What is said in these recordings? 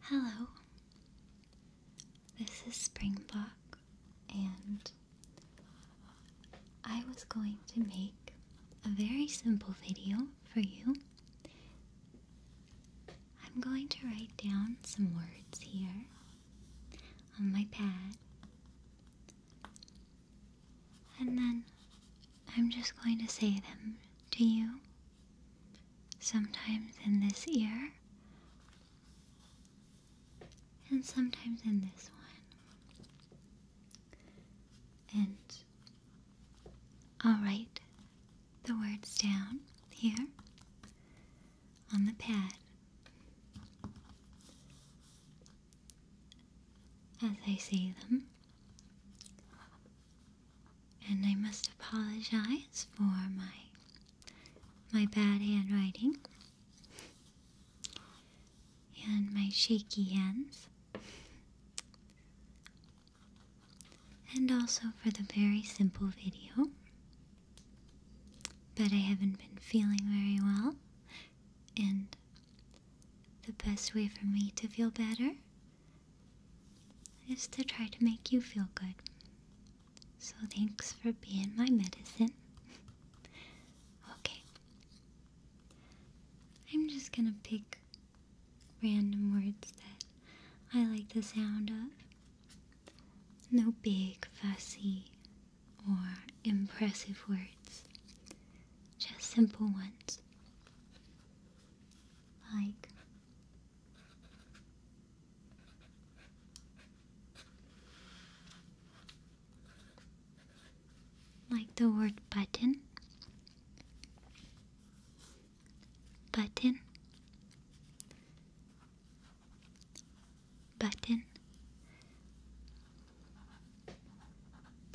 Hello, this is Springbok, and I was going to make a very simple video for you. I'm going to write down some words here on my pad, and then I'm just going to say them to you, sometimes in this ear, and sometimes in this one. And I'll write the words down here on the pad as I say them. And I must apologize for my my bad handwriting and my shaky hands. And also for the very simple video. But I haven't been feeling very well, and the best way for me to feel better is to try to make you feel good. So thanks for being my medicine. okay. I'm just gonna pick random words that I like the sound of. No big, fussy or impressive words, just simple ones like like the word button button button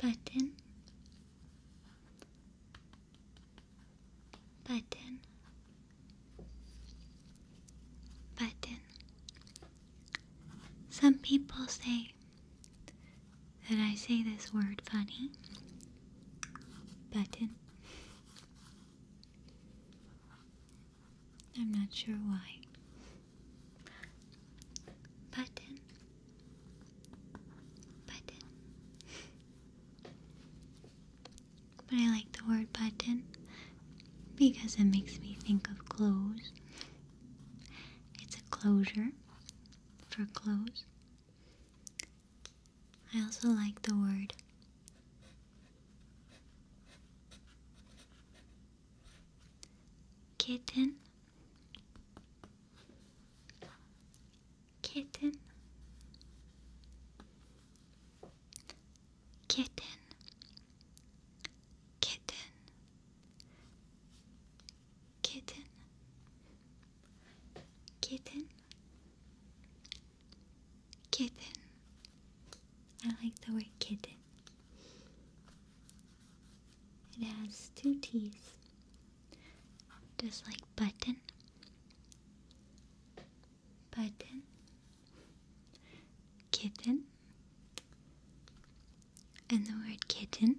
button button button some people say that I say this word funny button I'm not sure why. Button. Button. but I like the word button because it makes me think of clothes. It's a closure for clothes. I also like the word kitten kitten kitten kitten kitten kitten kitten I like the word kitten it has two T's, just like button, button, kitten, and the word kitten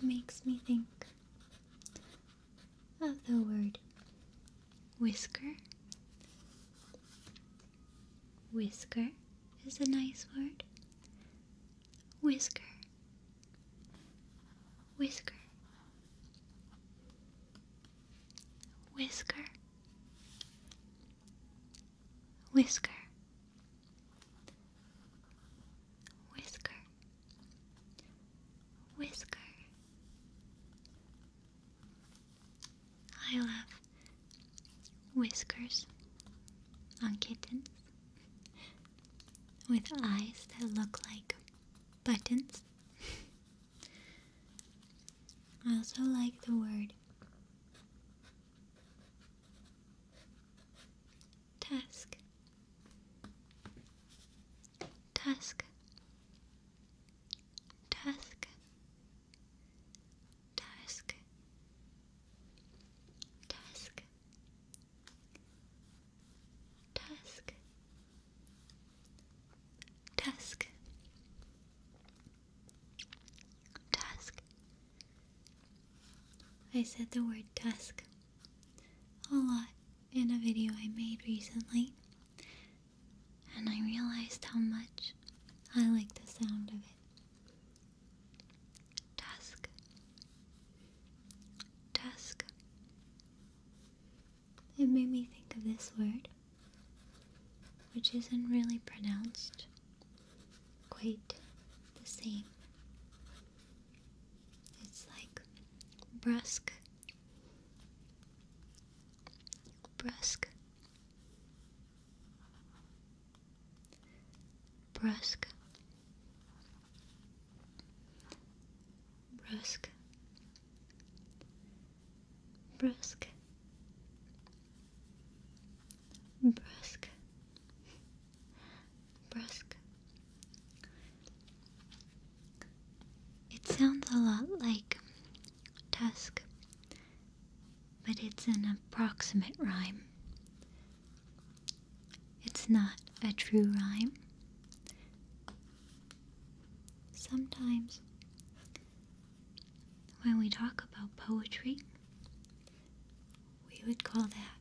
makes me think of the word whisker Whisker is a nice word. Whisker. Whisker. Whisker. Whisker. Whisker. Whisker. I love whiskers on kittens with eyes that look like buttons. I also like the word task. Tusk, tusk, task, task, task, task, task. I said the word tusk a lot in a video I made recently and I realized how much I like the sound of it. Dusk, dusk. It made me think of this word, which isn't really pronounced quite the same. It's like brusque, brusque brusque brusque brusque brusque brusque it sounds a lot like tusk, but it's an approximate rhyme. It's not a true rhyme. Sometimes, when we talk about poetry, we would call that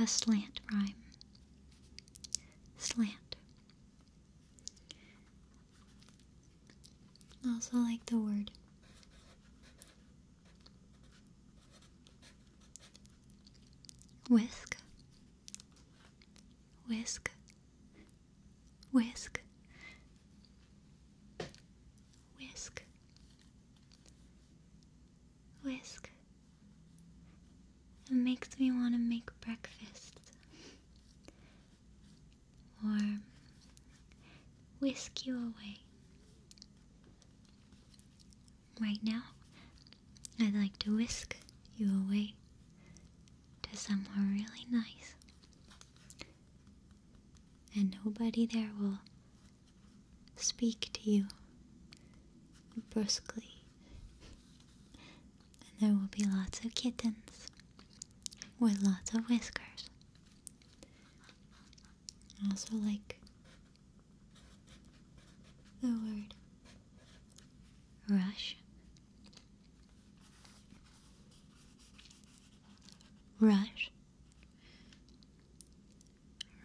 a slant rhyme. Slant. I also like the word. Whisk, whisk, whisk, whisk, whisk, it makes me want to make breakfast. or whisk you away. Right now, I'd like to whisk you away to somewhere really nice. And nobody there will speak to you brusquely and there will be lots of kittens with lots of whiskers. also like the word rush. Rush.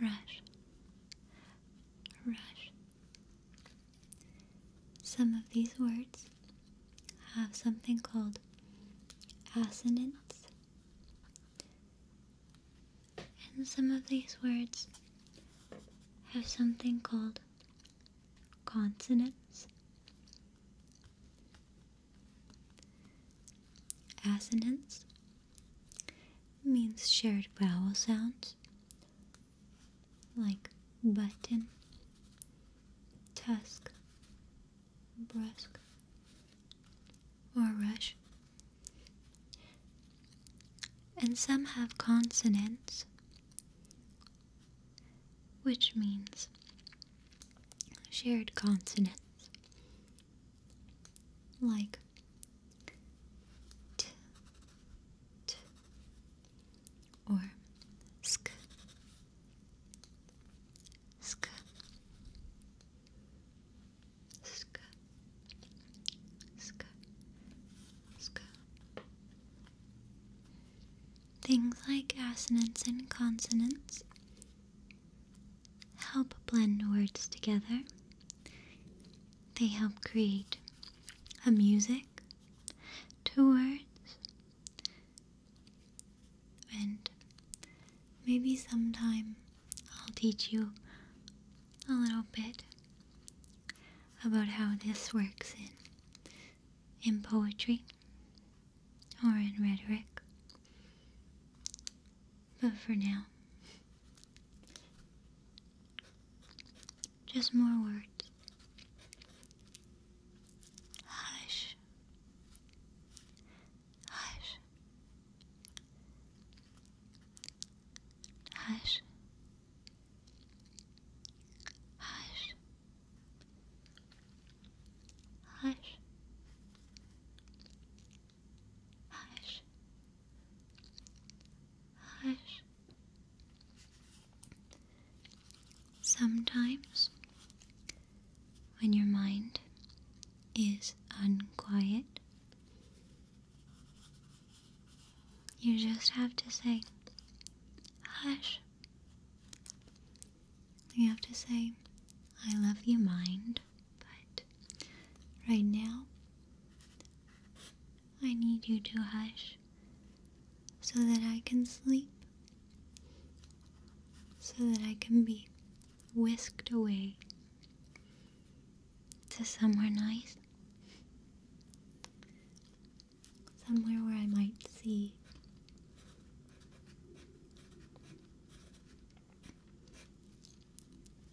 Rush. Rush. Some of these words have something called assonance, and some of these words have something called consonants. Assonance means shared vowel sounds like button, tusk, brusk, or rush. And some have consonants, which means shared consonants, like or sk, sk, sk, sk, sk. Things like assonance and consonants help blend words together they help create a music to words and maybe sometime I'll teach you a little bit about how this works in in poetry or in rhetoric. But for now, just more words. Hush. Hush. Hush. Hush. Hush. Hush. Hush. Sometimes, when your mind is unquiet, you just have to say, Hush. You have to say, I love you, mind, but right now I need you to hush so that I can sleep, so that I can be whisked away to somewhere nice, somewhere where I might see.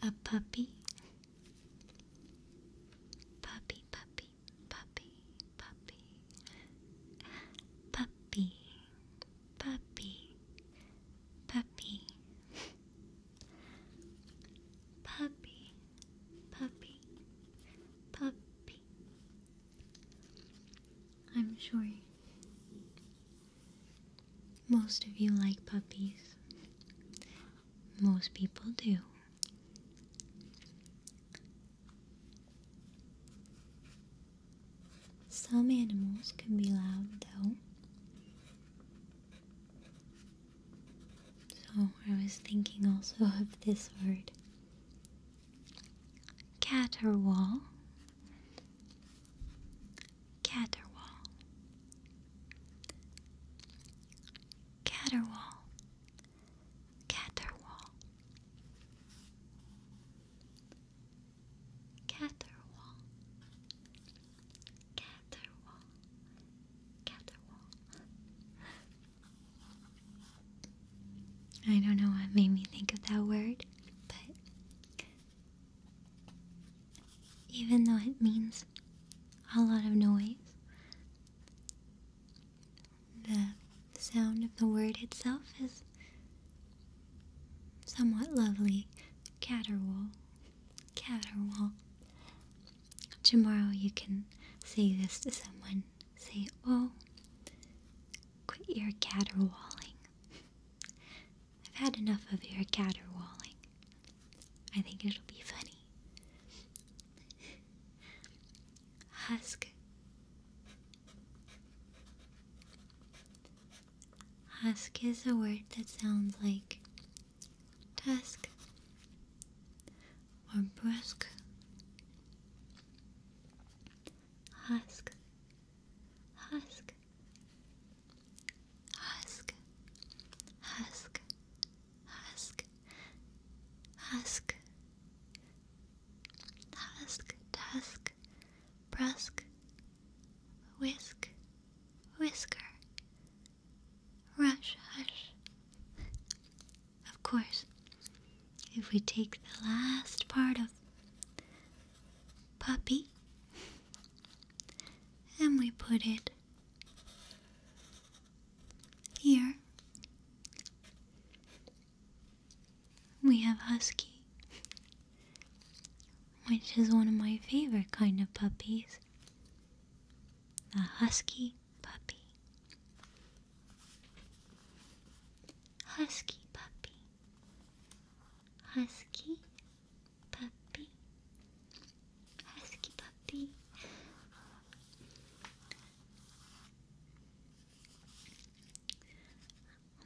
A puppy Puppy, puppy, puppy, puppy. Puppy, puppy, puppy. Puppy, puppy, puppy. I'm sure most of you like puppies. Most people do. Some animals can be loud though. So I was thinking also of this word caterwaul. Caterwaul. Caterwall, caterwall, caterwall, caterwall, caterwall. I don't know what made me think of that word, but even though it means a lot of noise. The sound of the word itself is somewhat lovely. Caterwaul. Caterwaul. Tomorrow you can say this to someone. Say, oh, quit your caterwauling. I've had enough of your caterwauling. I think it'll be funny. Husk. Husk is a word that sounds like tusk or brusque. Husk. Husk. Husk. Husk. Ask, ask, task, task, brusk, whisk, whisker, rush, hush. Of course, if we take the last part of puppy and we put it here we have Husky, which is one of my favorite kind of puppies. A Husky puppy. Husky puppy. Husky puppy, husky puppy.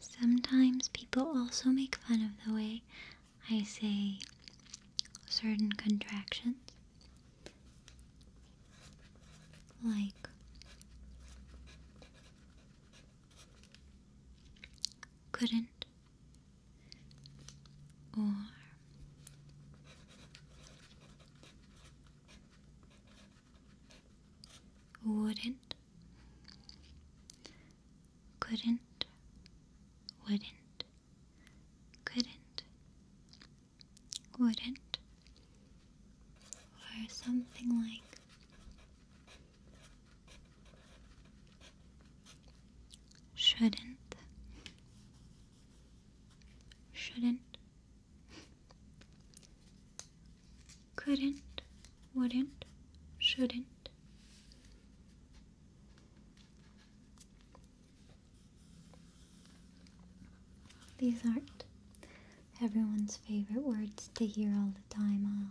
Sometimes people also make fun of the way I say certain contractions. Like couldn't or wouldn't, couldn't, wouldn't, couldn't, wouldn't, or something like Shouldn't. Shouldn't. Couldn't. Wouldn't. Shouldn't. These aren't everyone's favorite words to hear all the time, huh?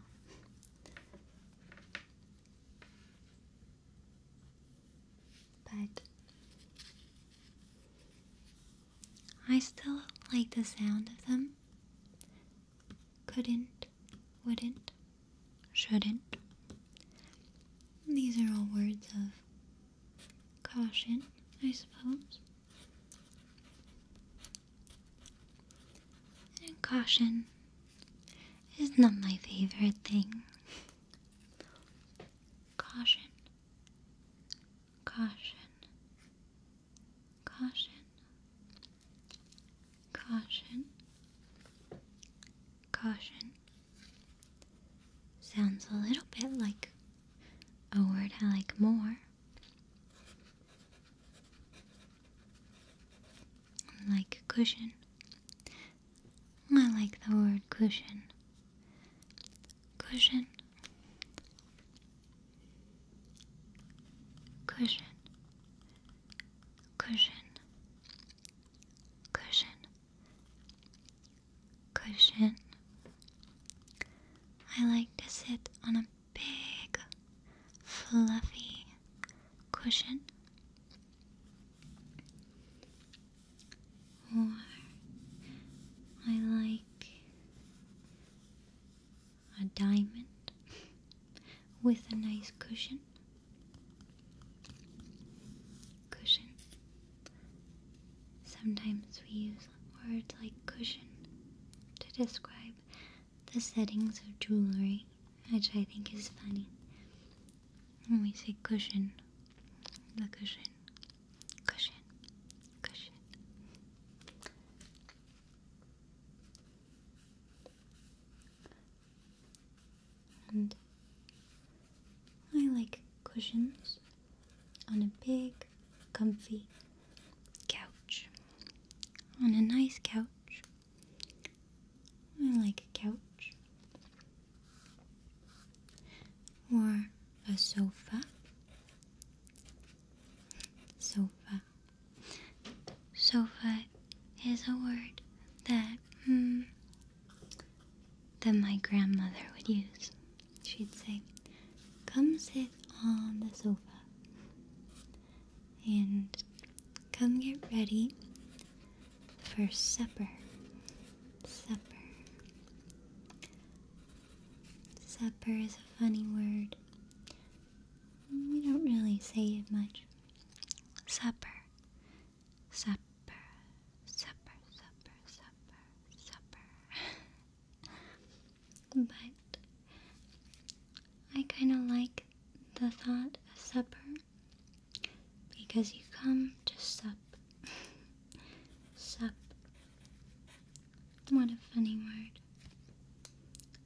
But I still like the sound of them. Couldn't, wouldn't, shouldn't. These are all words of caution, I suppose. And caution is not my favorite thing. Caution, caution, caution, caution, caution. Sounds a little bit like a word I like more. Like cushion. I like the word cushion. Cushion. Cushion. Cushion. Cushion. Cushion. I like to sit on a big, fluffy cushion or I like a diamond with a nice cushion. Cushion. Sometimes we use words like cushion to describe the settings of jewelry, which I think is funny. When we say cushion, the cushion, cushion, cushion. And I like cushions on a big, comfy couch. On a nice couch I like a couch or a sofa. Sofa. Sofa is a word that hmm, that my grandmother would use. She'd say, "Come sit on the sofa," and come get ready for supper. Supper. Supper is a funny word. We don't really say it much. Supper. Supper. Supper. Supper. Supper. Supper. but I kind of like the thought of supper because you come to sup. sup. What a funny word.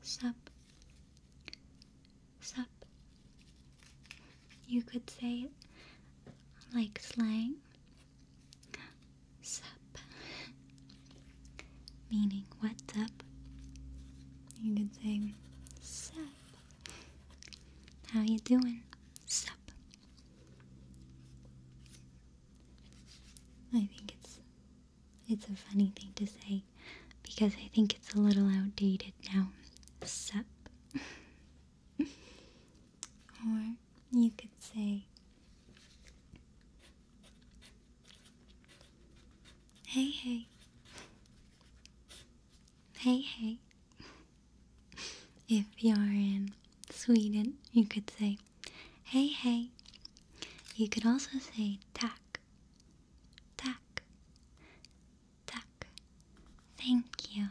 Sup. Sup. You could say it like slang. Sup. Meaning, what's up? You could say, sup. How you doing? Sup? I think it's it's a funny thing to say because I think it's a little outdated now. Sup. or you could say Hey hey Hey, hey. If you're in Sweden, you could say, hey, hey. You could also say, tack, tack, tack. Thank you.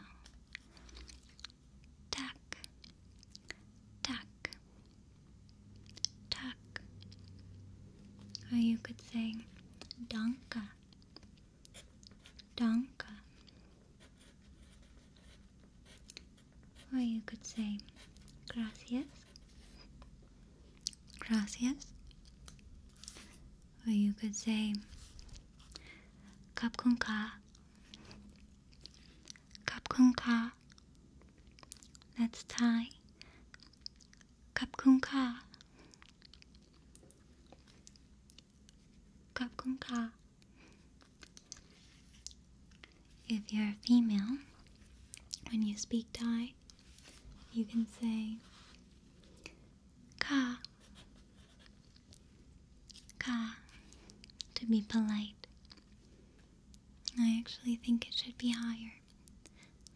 Tack, tack, tack. Or you could say, danka, Danka. Or you could say gracias. Gracias. Or you could say kap kun That's Thai. If you're a female, when you speak Thai, you can say ka ka to be polite. I actually think it should be higher.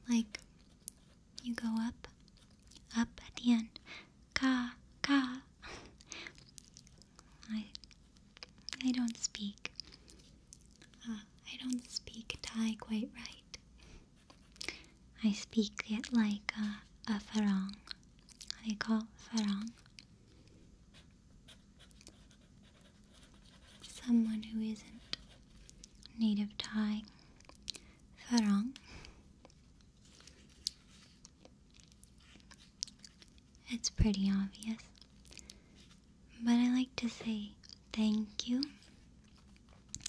Like you go up, up at the end. Ka, ka. I, I don't speak. Uh, I don't speak Thai quite right. I speak it like a, a farang. I call farang. Someone who isn't native Thai 사랑 It's pretty obvious. But I like to say thank you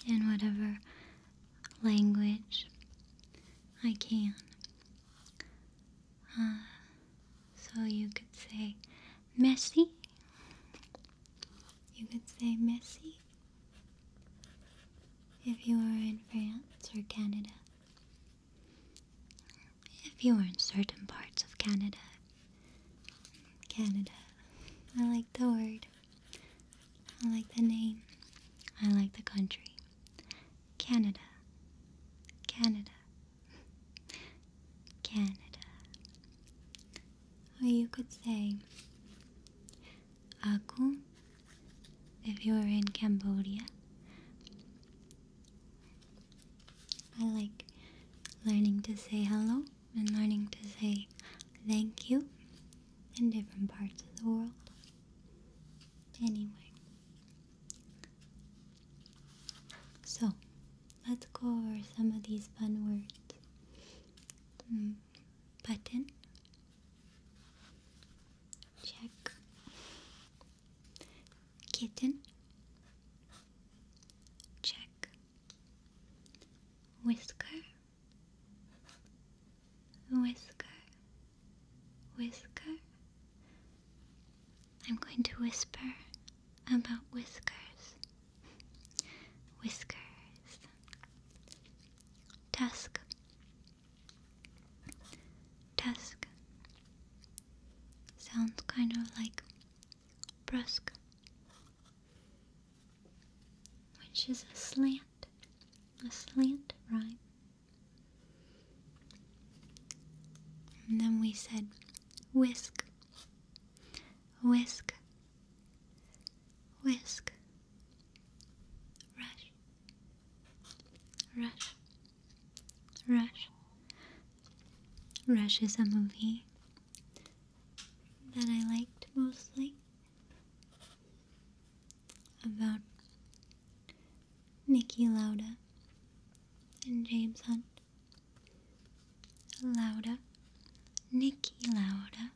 in whatever language I can. Uh, so you could say messy. You could say messy if you are in France or Canada, if you are in certain parts of Canada, Canada, I like the word, I like the name, I like the country, Canada, Canada, Canada. Or you could say, Aku, if you are in Cambodia. I like learning to say hello and learning to say thank you in different parts of the world. Anyway, so let's go over some of these fun words. Hmm, button, Check. Kitten. Check. Whisker. Whisker. Whisker. I'm going to whisper about whiskers. Whiskers. Tusk, Task. Sounds kind of like brusque, which is a slant, a slant rhyme. And then we said whisk, whisk, whisk. Rush, Rush, Rush. Rush is a movie that I liked mostly about Nikki Lauda and James Hunt. Lauda, Nikki Lauda,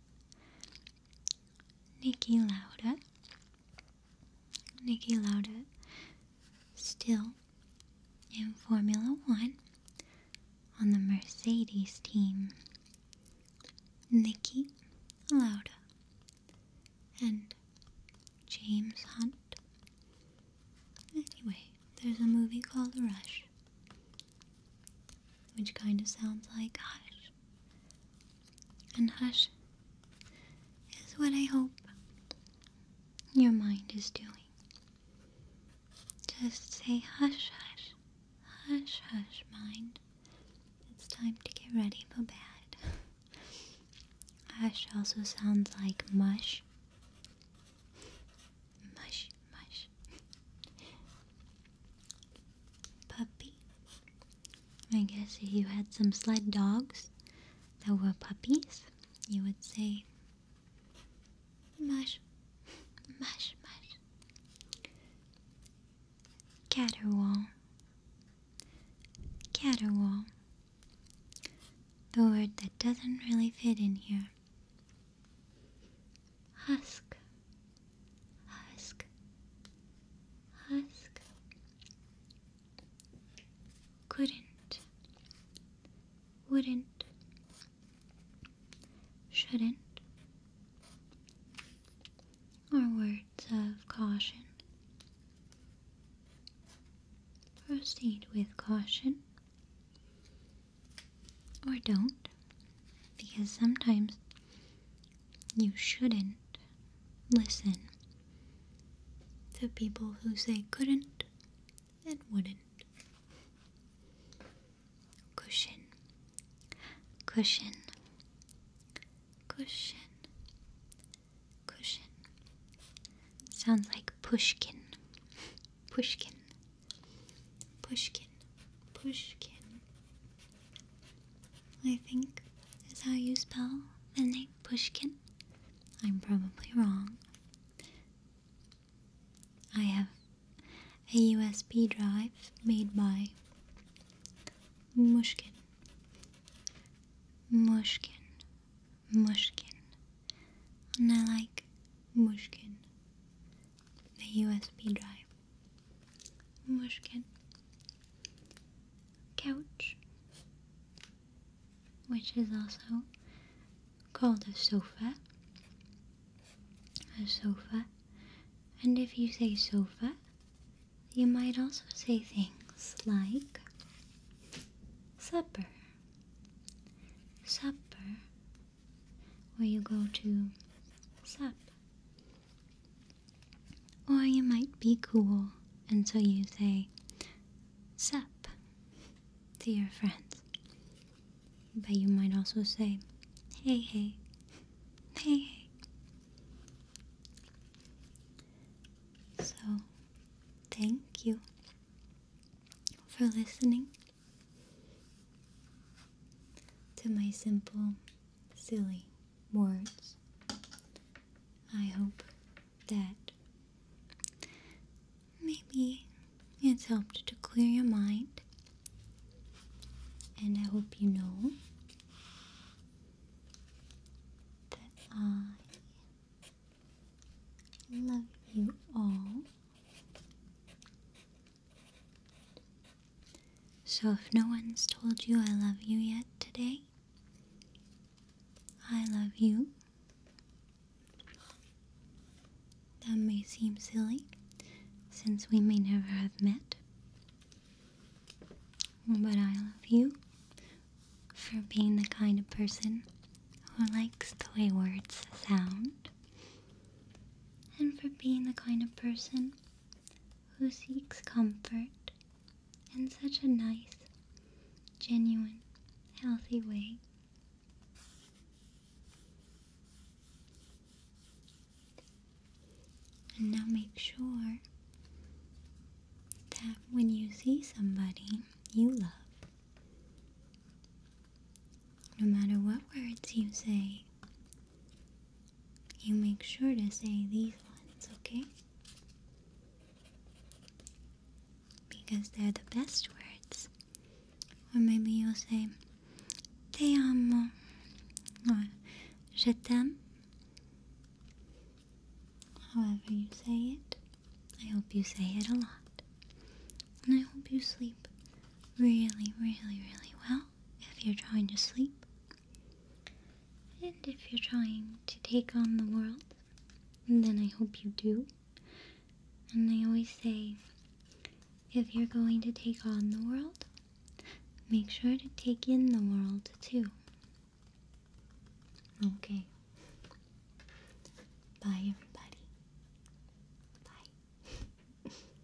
Nikki Lauda. Nikki Lauda still in Formula One on the Mercedes team. Nikki Lauda and James Hunt. Anyway, there's a movie called Rush which kind of sounds like hush. And hush is what I hope your mind is doing. Just say hush, hush, hush, hush, mind. It's time to get ready for bed. hush also sounds like mush. Mush, mush, Puppy. I guess if you had some sled dogs that were puppies, you would say mush, mush, mush. Caterwaul, caterwaul. The word that doesn't really fit in here husk, husk, husk. Couldn't, wouldn't, shouldn't, or words of caution. Proceed with caution or don't because sometimes you shouldn't listen to people who say couldn't and wouldn't. Cushion, cushion, cushion, cushion. Sounds like pushkin, pushkin, pushkin pushkin. I think is how you spell the name Pushkin. I'm probably wrong. I have a USB drive made by Mushkin. Mushkin. Mushkin. And I like Mushkin. The USB drive. Mushkin couch, which is also called a sofa. A sofa. And if you say sofa, you might also say things like supper, supper, where you go to sup. Or you might be cool and so you say sup to your friends. But you might also say hey hey, hey hey. So, thank you for listening to my simple silly words. I hope that maybe it's helped to clear your mind. And I hope you know that I love you all so, if no one's told you I love you yet today, I love you. That may seem silly since we may never have met, but I love you for being the kind of person who likes the way words sound and for being the kind of person who seeks comfort in such a nice, genuine, healthy way. And now make sure that when you see somebody you love, no matter what words you say, you make sure to say these ones, okay? Because they're the best words. Or maybe you'll say, Te amo. Je t'aime. However you say it, I hope you say it a lot. And I hope you sleep really, really, really well if you're trying to sleep. And if you're trying to take on the world, then I hope you do. And I always say if you're going to take on the world, make sure to take in the world too. Okay. Bye, everybody. Bye.